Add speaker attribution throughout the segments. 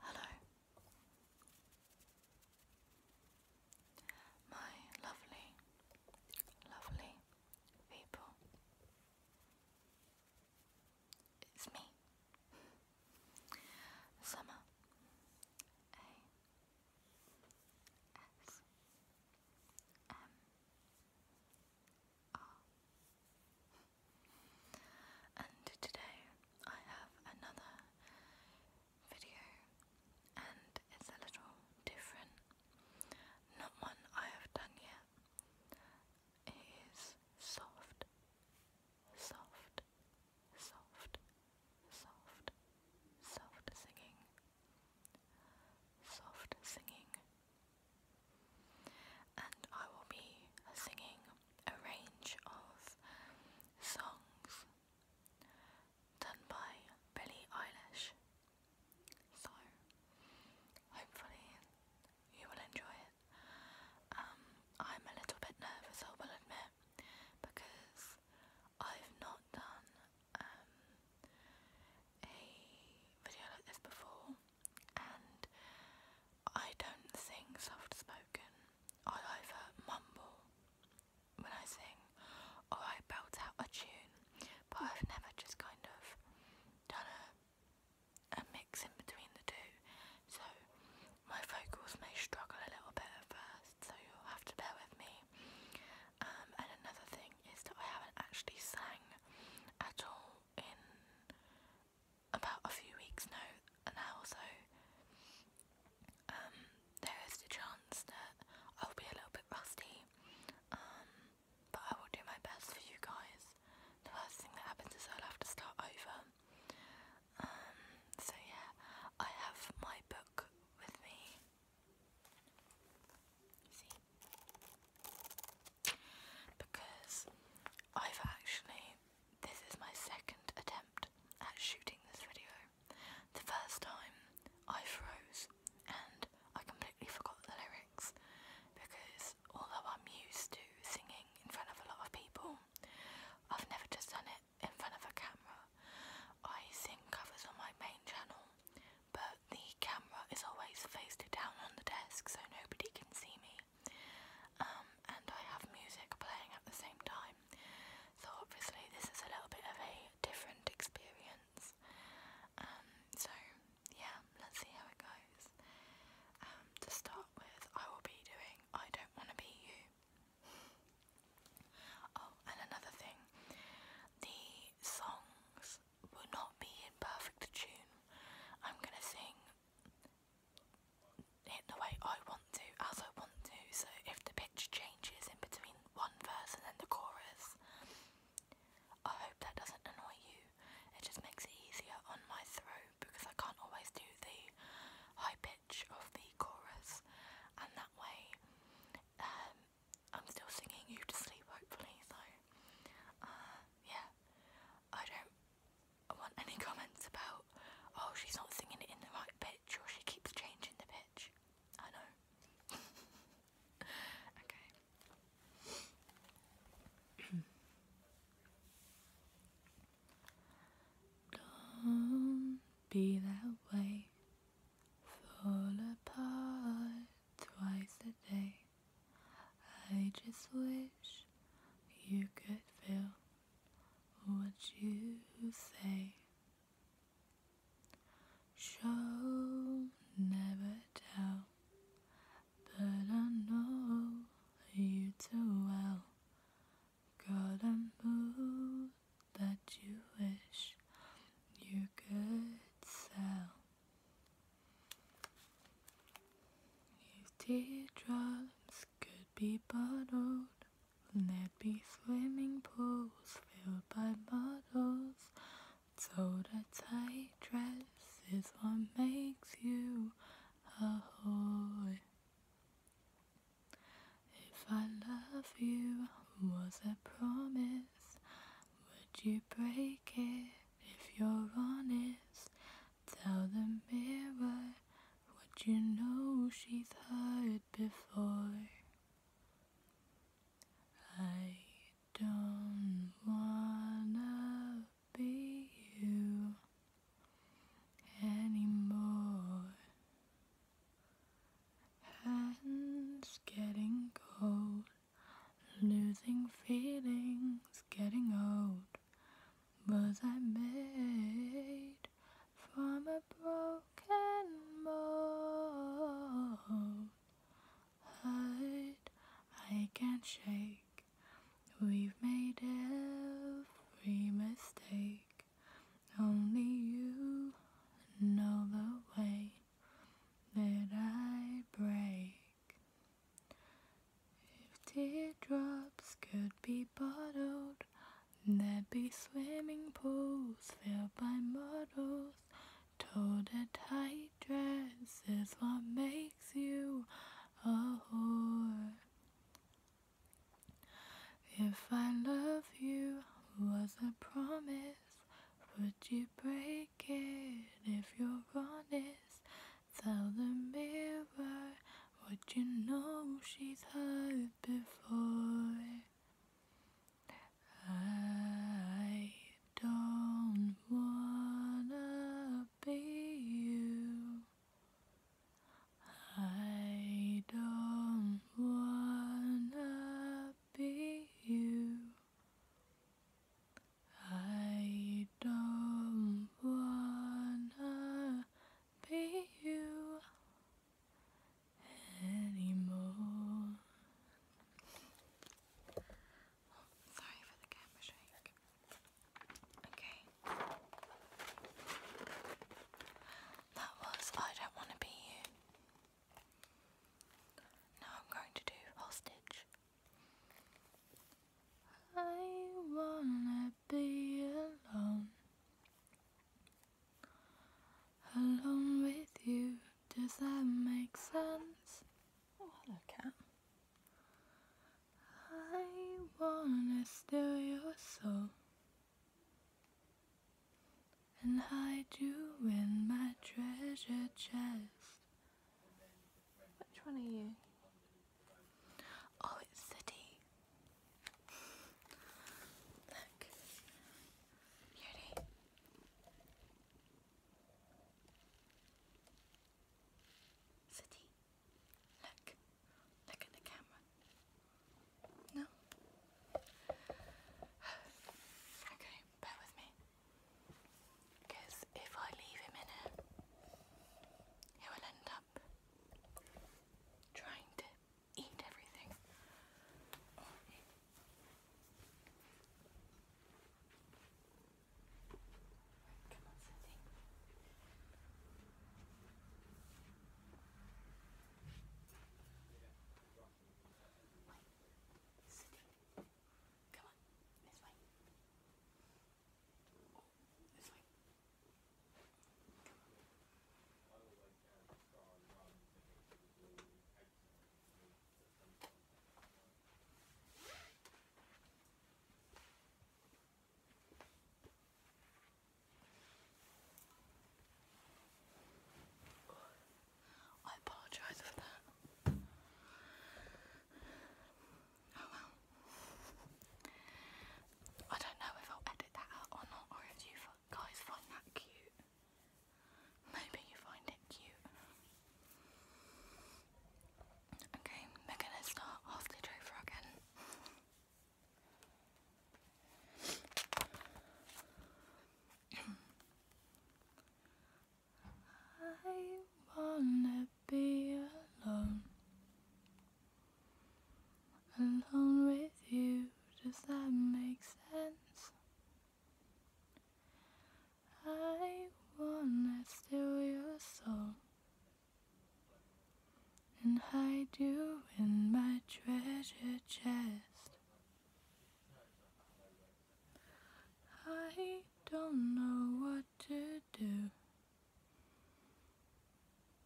Speaker 1: Hello, my lovely, lovely people. It's me, Summer A S M R. And today I have another video, and it's a little different, not one I have done yet. It is soft, soft, soft, soft, soft singing, soft singing and I will be singing a range of songs done by Billie Eilish. So, hopefully, you will enjoy it. Um, I'm a little bit nervous, I will admit, because I've not done um, a video like this before and I don't sing soft spoken. I either mumble when I sing or I belt out a tune, but I've never just kind of done a, a mix in between the two. So my vocals may struggle a little bit at first, so you'll have to bear with me. Um, and another thing is that I haven't actually sang at all in about a few weeks now, now or so, um, there is the chance that I'll be a little bit rusty, um, but I will do my best for you guys. The first thing that happens is I'll have to start over. Um, so yeah, I have my book with me because I've actually, this is my second attempt at shooting this video. The first time I froze and I completely forgot the lyrics because although I'm used to singing in front of a lot of people, I've never just done it in front of a camera. I sing covers on my main channel, but the camera is always faced down on the desk so nobody can see me. Um, and I have music playing at the same time. So obviously this is a little bit of a different experience. Um, so yeah, let's see how it goes. Um, to start with, I will be doing I Don't Wanna Be You. Oh, and another thing, the songs will not be in perfect tune. I'm going to sing it the way I want to, as I want to. So if the pitch changes in between one verse and then the chorus, I hope that doesn't annoy you. It just makes it easier on my throat because I can't always do the high pitch of the chorus, and that way um, I'm still singing you to sleep, hopefully. So, uh, yeah. I don't want any comments about, oh, she's not singing it in the right pitch or she keeps changing the pitch. I know. okay. Don't be that way. Fall apart twice a day. I just wish you could feel what you say. Show, never tell, but I know you too well. Got a mood that you wish you could sell. These teardrops could be bottled. There'd be swimming pools filled by models. So the tight dress is what makes you a whore. If I love you was a promise, would you break it if you're honest? Tell the mirror what you know she's heard before. I don't wanna be you anymore. Hands getting cold. Losing feelings, getting old. Was I made from a broken mold? Hurt, I can't shake. We've made every mistake. Only you know the way that I break. If teardrops could be bottled, there'd be swimming pools filled by models. Told a tight dress is what makes you a whore. If I love you was a promise, would you break? if you're honest. Tell the mirror what you know she's heard before. I don't wanna be you. I don't wanna be you. I don't wanna be you anymore. sorry for the camera shake. Okay. That was I Don't Wanna Be You. Now I'm going to do Hostage. I wanna be alone, alone with you. Does that make sense? Oh, hello, cat. I wanna steal your soul and hide you in my treasure chest. Which one are you? Oh, it's City. Look. Beauty. City. Look. Look at the camera. No? okay, bear with me. Because if I leave him in it, he will end up trying to eat everything. Come on, Cindy. Come on, this way. Oh, this way. Come on. I apologise for that. Oh, I don't know if I'll edit that out or not, or if you guys find that cute. Maybe you find it cute. Okay, we're gonna start off the over again. I wanna be alone, alone with you. Does that make sense? I wanna steal your soul and hide you in my treasure chest. I don't know what to do.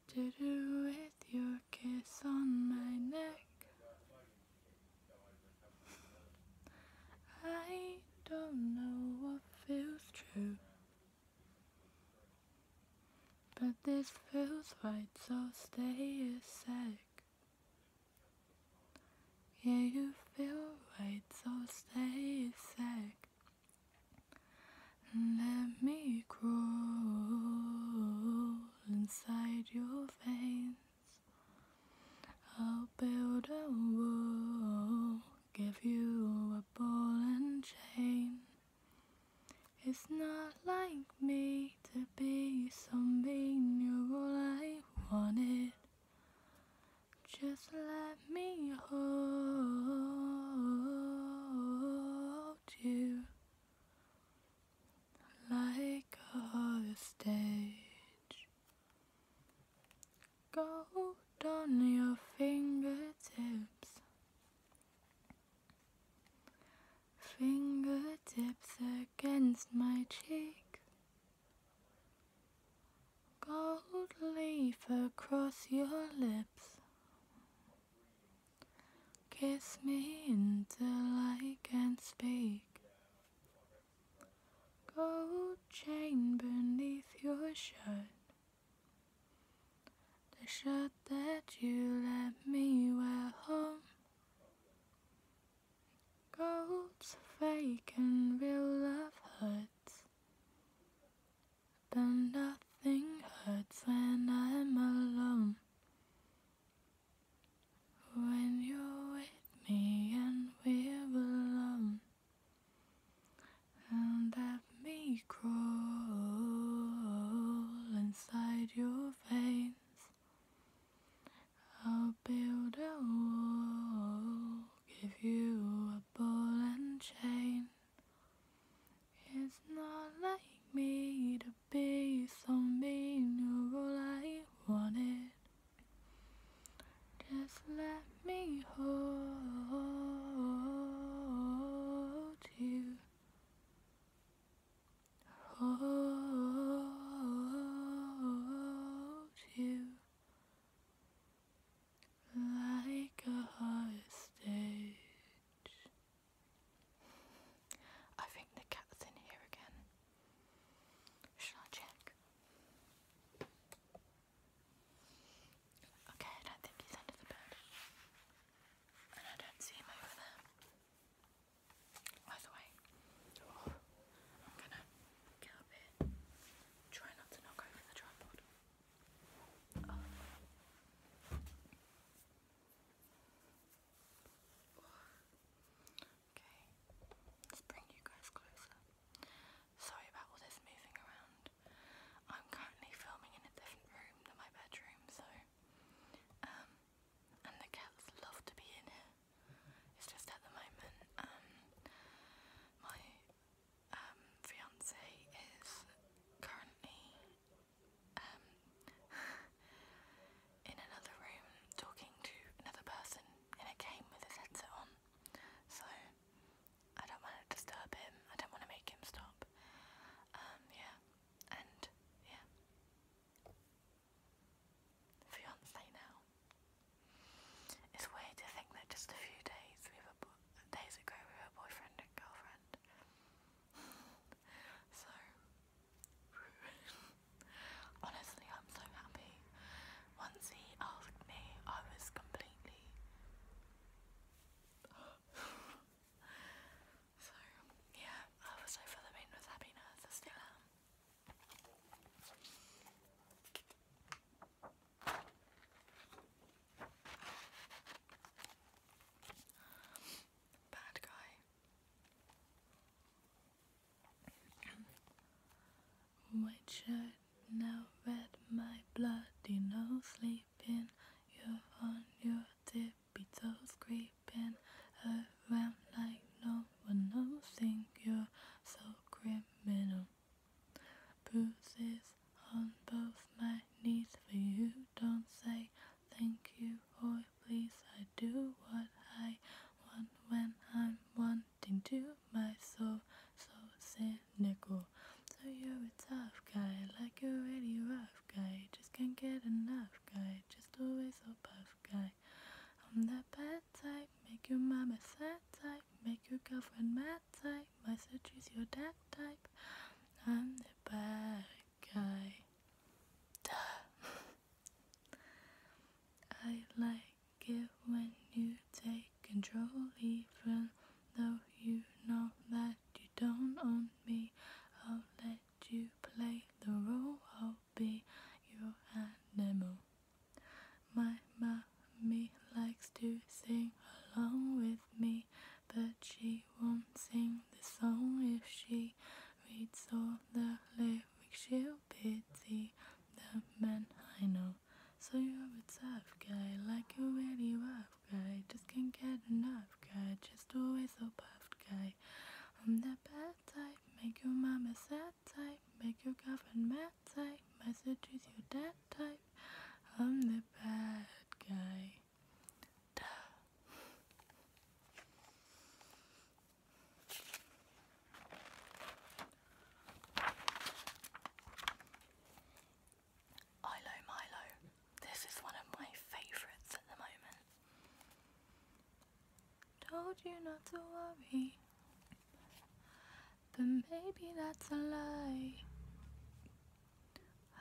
Speaker 1: To do with your kiss on my neck. I don't know what feels true. But this feels right, so stay a sec. Yeah, you feel right, so stay sick. Let me crawl inside your veins. I'll build a wall, give you a ball and chain. It's not like me to be something you're all I wanted. Just let me hold you like a stage. Gold on your fingertips, fingertips against my cheek. Gold leaf across your lips. Kiss me until I can speak. Gold chain beneath your shirt. The shirt that you left me at home. Gold's fake and real love hurts. But nothing hurts when I'm alone. When you're with me and we're alone. And let me crawl inside your veins. I'll build a wall, give you a ball and chain. It's not like me to be so mean, you're all I wanted. Just let me hold you hold you like a hostage. I think the cat's in here again. Shall I check? Okay, I don't think he's under the bed. And I don't see him over there. I'm let's bring you guys closer. Sorry about all this moving around. I'm currently filming in a different room than my bedroom, so um, and the cats love to be in here. It's just at the moment, um, my um, fiance is currently um, in another room talking to another person in a game with his headset on. So I don't want to disturb him. I don't want to make him stop. yeah, and yeah fiance now. It's weird to think that just a few days days ago we were boyfriend and girlfriend. so honestly, I'm so happy. Once he asked me, I was completely. so yeah, I was overwhelmed with happiness. I still am. Bad guy. Witcher, now red my blood, you know, sleeping. You're on your tippy toes, creep been around like no one else, Think you're so criminal. Bruises on both my knees for you. Don't say thank you boy. please. I do what I want when I'm wanting to. My soul so cynical. So you're a tough guy, like a really rough guy. Just can't get enough guy. Just always a tough guy. I'm that bad type, make your mama sad type, make your girlfriend mad type. My sister's your dad type. I'm the bad guy. I like it when you take control, even though you know that you don't own me. I'll let you play the role be your animal. My mommy likes to sing along with me, but she won't sing the song if she reads all the lyrics. She'll pity the man I know. So you're a tough guy, like a really rough guy. Just can't get enough guy, just always so puffed guy. I'm the best make your mama sad type, make your girlfriend mad type, messages your dad type. I'm the bad guy. Duh. Ilo Milo. This is one of my favourites at the moment. Told you not to worry, but maybe that's a lie.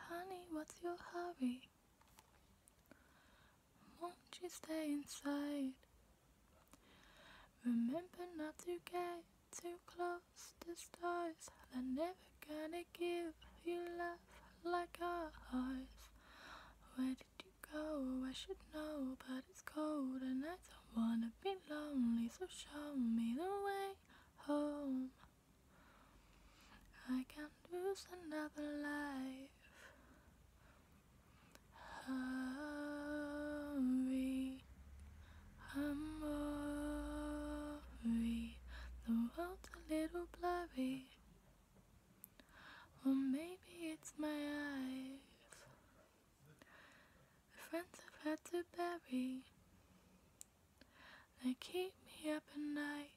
Speaker 1: Honey, what's your hurry? Won't you stay inside? Remember not to get too close to stars. They're never gonna give you love like ours. Where did you go? Oh, I should know, but it's cold and I don't wanna be lonely, so show me the way home. I can't lose another life. Hurry, i The world's a little blurry. Or maybe it's my eyes. The friends I've had to bury. They keep me up at night.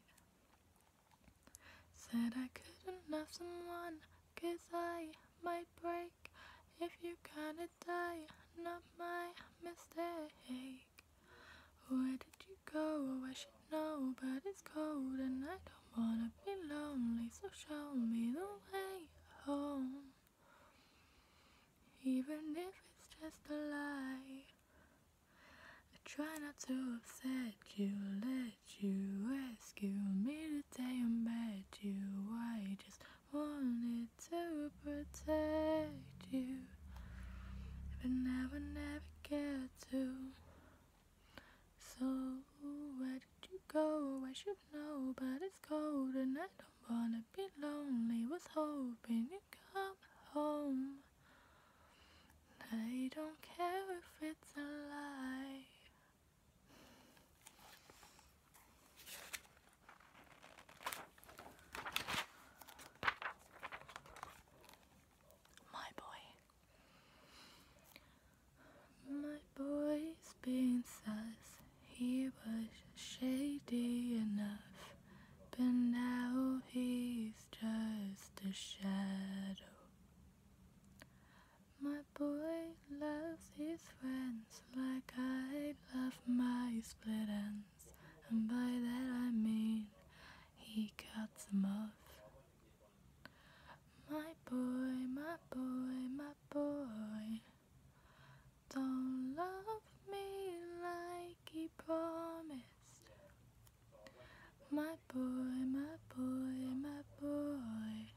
Speaker 1: Said I couldn't love someone, cause I might break. If you are gonna die, not my mistake. Where did you go? Oh, you but it's cold and I don't wanna be lonely, so show me the way home. Even if it's just a lie, I try not to upset you, let you rescue me the day I met you. I just wanted to protect you, but now I never get to. So where did you go? I should know, but it's cold and I don't wanna be lonely. Was hoping you'd come home. I don't care if it's a lie. My boy. My boy's been sus, he was shady enough, but now he's just a shadow. My boy loves his friends like I love my split ends, and by that I mean he cuts them off. My boy, my boy, my boy, don't love me like he promised. My boy, my boy, my boy,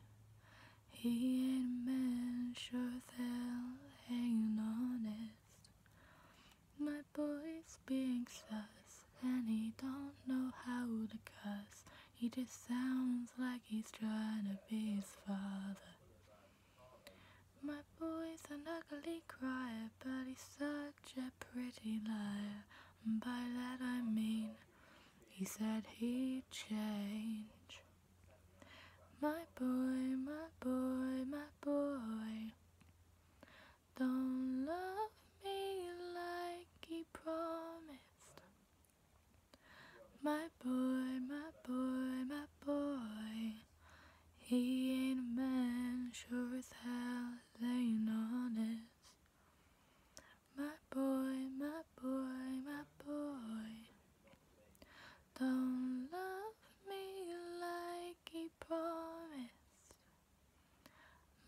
Speaker 1: he ain't man, sure they'll hang honest. My boy's being sus and he don't know how to cuss. He just sounds like he's trying to be his father. My boy's an ugly crier, but he's such a pretty liar. by that I mean, he said he'd change. My boy, my boy, my boy. Don't love me like he promised. My boy, my boy, my boy. He ain't a man, sure as hell ain't honest. My boy, my boy, my boy. Don't love me like he promised.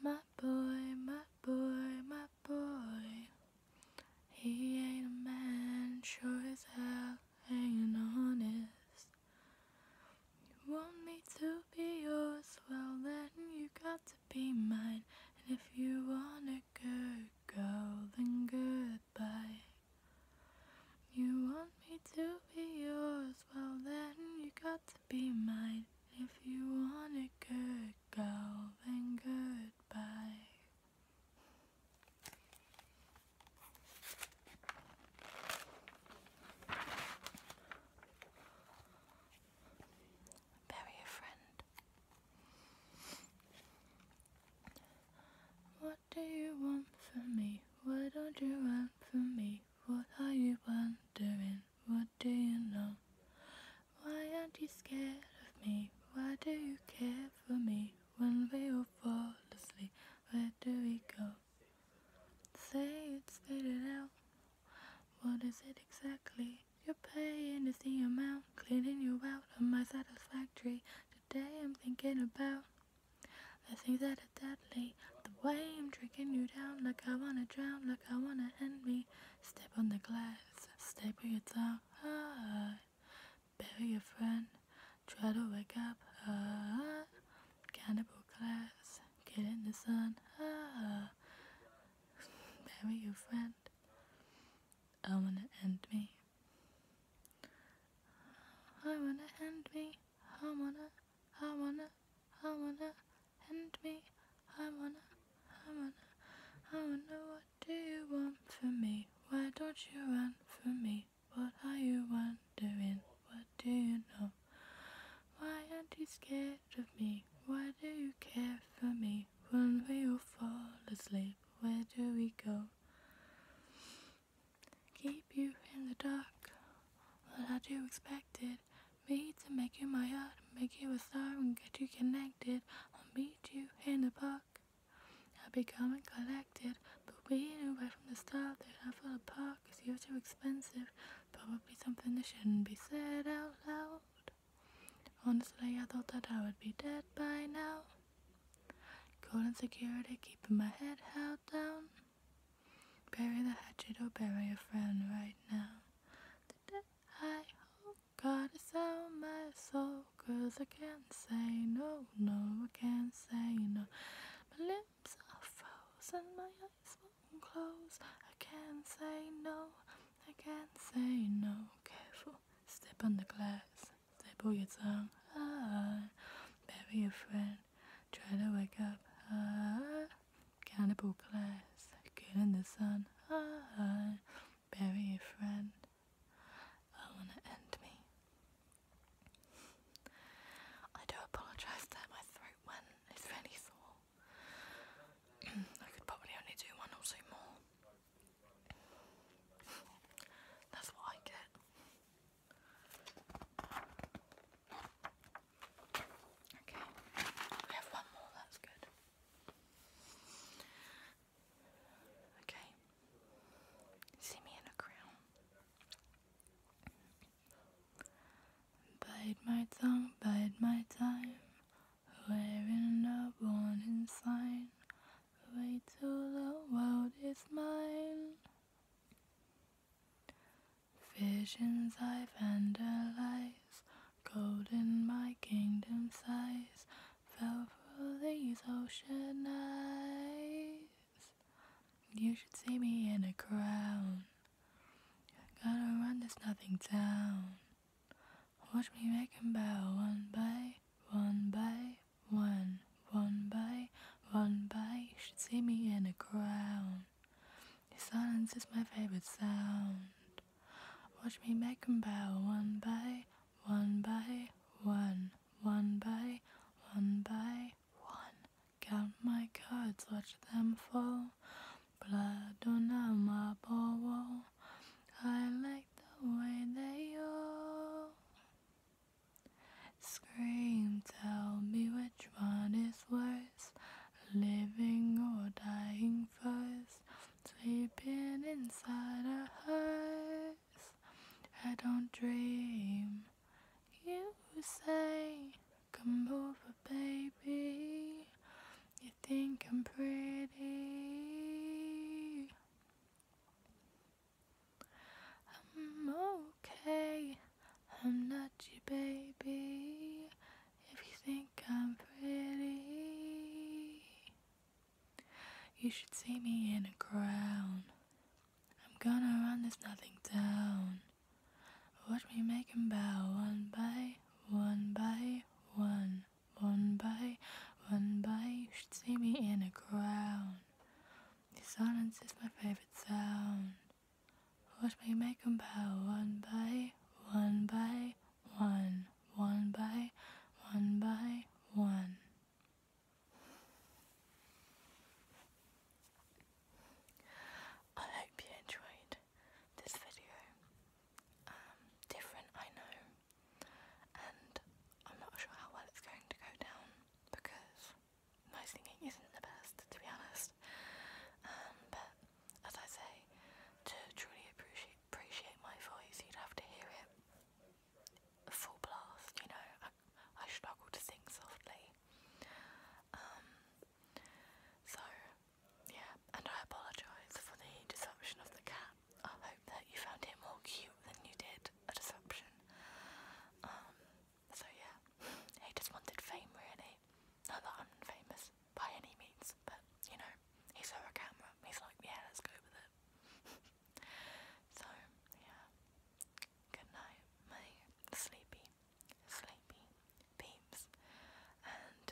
Speaker 1: My boy, my boy, my boy. He ain't a man, sure as hell ain't honest. You want me to be yours, well then you got to be mine. And if you want a good girl, then goodbye. You want me to be yours, well then you got to be mine. If you want a good girl, then goodbye. Bury a friend. What do you want from me? What don't you want from me? What are you wondering? What do you know? Why aren't you scared of me? Why do you care for me? When we all fall asleep, where do we go? Say it, spit it out. What is it exactly? Your pain is the amount, cleaning you out of my satisfactory. Today I'm thinking about the things that are deadly. The way I'm drinking you down, like I wanna drown, like I wanna end me. Step on the glass, step with your tongue high. Ah. Bury your friend, try to wake up high. Ah. Cannibal class, get in the sun ah. Bury your friend. I wanna end me. I wanna end me. I wanna, I wanna. I wanna end me. I wanna, I wanna, I wanna. What do you want from me? Why don't you run from me? What are you wondering? What do you know? Why aren't you scared of me? Why do you care for me? When we all fall asleep, where do we go? Keep you in the dark. What had you it? me to make you my heart, make you a star and get you connected. I'll meet you in the park. I'll be calm and collected, but we knew right from the start that I fell apart cause you were too expensive. Probably something that shouldn't be said out loud. Honestly, I thought that I would be dead by now. Cold security, keeping my head held down. Bury the hatchet or bury a friend right now. I hope God is out my soul Cause I can't say no, no, I can't say no My lips are frozen, my eyes won't close I can't say no, I can't say no Careful, step on the glass, staple your tongue high ah, Bury a friend, try to wake up high ah cannibal class, good in the sun, I bury your friend, I wanna end me. I do apologise that my throat went, it's really sore. I could probably only do one or two more. That's what I get. Okay, we have one more, that's good. Okay, see me in a crown. Bide my tongue, bide my time. Wearing a warning sign. Wait till the world is mine. Visions I vandalize, gold in my kingdom size, fell for these ocean eyes. You should see me in a crown. Gotta run this nothing town. Watch me make 'em bow one by one by one, one by one by. You should see me in a crown silence is my favorite sound. Watch me make 'em bow one by one by one, one by one by one. Count my cards, watch them fall. Blood on a marble I like the way they all scream. Tell me which one is worse living or dying first, sleeping inside a house. I don't dream. You say, come over, baby. You think I'm pretty. I'm okay. I'm not your baby if you think I'm pretty. You should see me in a crown. I'm gonna run this nothing down. Watch me make him bow one by one by one, one by one by. You should see me in a crown. silence is my favorite sound. Watch me make 'em bow one by one by one, one by one by one. I hope you enjoyed this video. Um, different, I know, and I'm not sure how well it's going to go down because my singing isn't the best, to be honest podcast. Um, but as I say, to truly appreciate appreciate my voice, you'd have to hear it full blast. You know, I, I struggle to sing softly. Um, so yeah, and I apologise for the deception of the cat. I hope that you found it more cute than you did a deception. Um, so yeah, he just wanted fame really. Not that I'm famous by any means, but you know, he saw a camera. He's like, let's go with it. so yeah, good night, my sleepy, sleepy peeps. And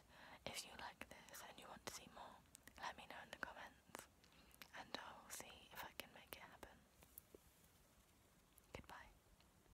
Speaker 1: if you like this and you want to see more, let me know in the comments, and I'll see if I can make it happen. Goodbye.